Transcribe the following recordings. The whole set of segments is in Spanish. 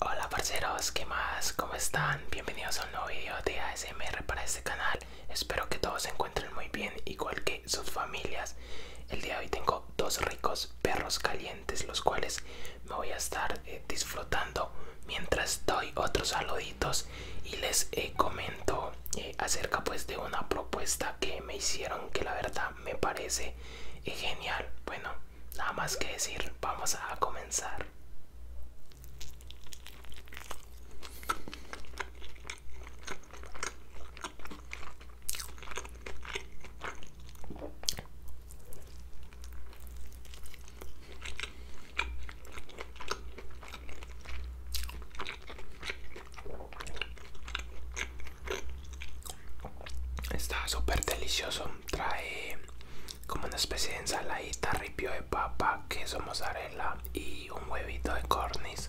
Hola parceros, ¿qué más? ¿Cómo están? Bienvenidos a un nuevo video de ASMR para este canal Espero que todos se encuentren muy bien, igual que sus familias El día de hoy tengo dos ricos perros calientes Los cuales me voy a estar eh, disfrutando Mientras doy otros saluditos Y les eh, comento eh, acerca pues de una propuesta que me hicieron Que la verdad me parece genial Bueno, nada más que decir, vamos a comenzar. Está súper delicioso, trae como una especie de ensaladita, ripio de papa, queso mozzarella y un huevito de cornice.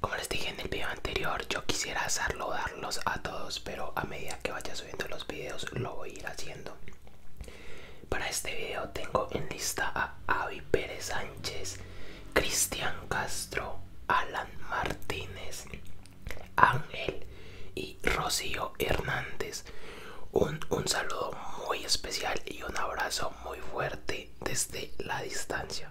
Como les dije en el video anterior, yo quisiera hacerlo, darlos a todos, pero a medida que vaya subiendo los videos lo voy a ir haciendo. Para este video tengo en lista a Avi Pérez Sánchez, Cristian Castro, Alan Martínez, Ángel y Rocío Hernández. Un, saludo muy especial y un abrazo muy fuerte desde la distancia.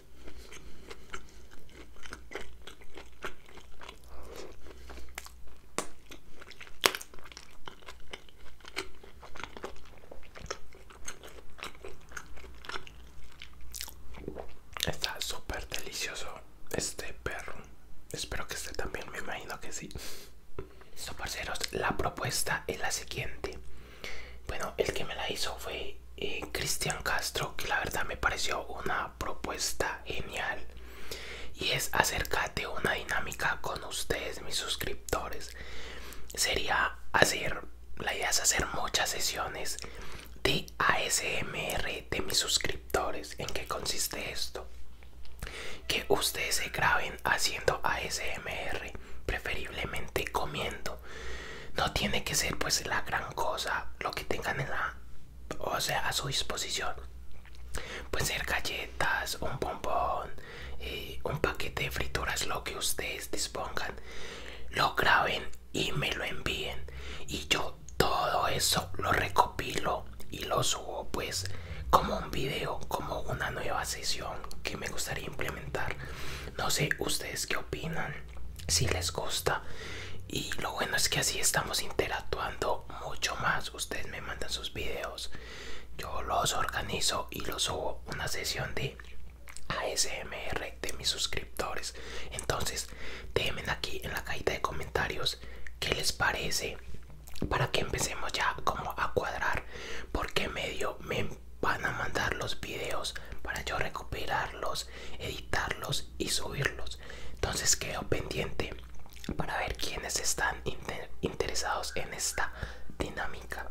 Está súper delicioso este perro. Espero que esté también, me imagino que sí. So, la propuesta es la siguiente. Bueno, el que me la hizo fue eh, Cristian Castro, que la verdad me pareció una propuesta genial. Y es acerca de una dinámica con ustedes, mis suscriptores. Sería hacer, la idea es hacer muchas sesiones de ASMR de mis suscriptores. ¿En qué consiste esto? Que ustedes se graben haciendo ASMR, preferiblemente comiendo no tiene que ser pues la gran cosa lo que tengan en la, o sea, a su disposición. Pueden ser galletas, un bombón, eh, un paquete de frituras, lo que ustedes dispongan. Lo graben y me lo envíen. Y yo todo eso lo recopilo y lo subo pues como un video, como una nueva sesión que me gustaría implementar. No sé ustedes qué opinan si les gusta y lo bueno es que así estamos interactuando mucho más ustedes me mandan sus videos yo los organizo y los subo una sesión de ASMR de mis suscriptores entonces déjenme aquí en la cajita de comentarios Que les parece para que empecemos ya como a cuadrar Porque medio me, van a mandar los videos para yo recuperarlos, editarlos y subirlos. Entonces quedo pendiente para ver quiénes están interesados en esta dinámica.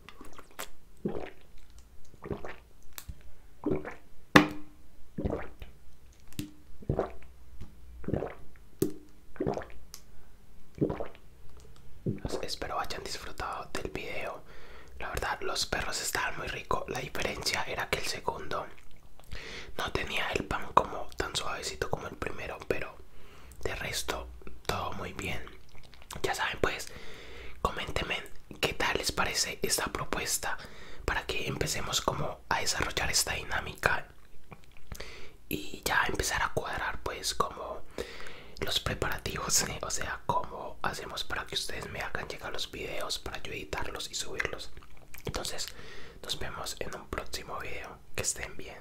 Espero hayan disfrutado del video. La verdad, los perros estaban muy ricos. La diferencia era que el segundo no tenía el pan como tan suavecito como el primero, pero de resto todo muy bien. Ya saben, pues, comentenme qué tal les parece esta propuesta para que empecemos como a desarrollar esta dinámica y ya empezar a cuadrar pues como los preparativos, o sea, cómo hacemos para que ustedes me hagan llegar los videos para yo editarlos y subirlos. Entonces, nos vemos en un próximo video. Que estén bien.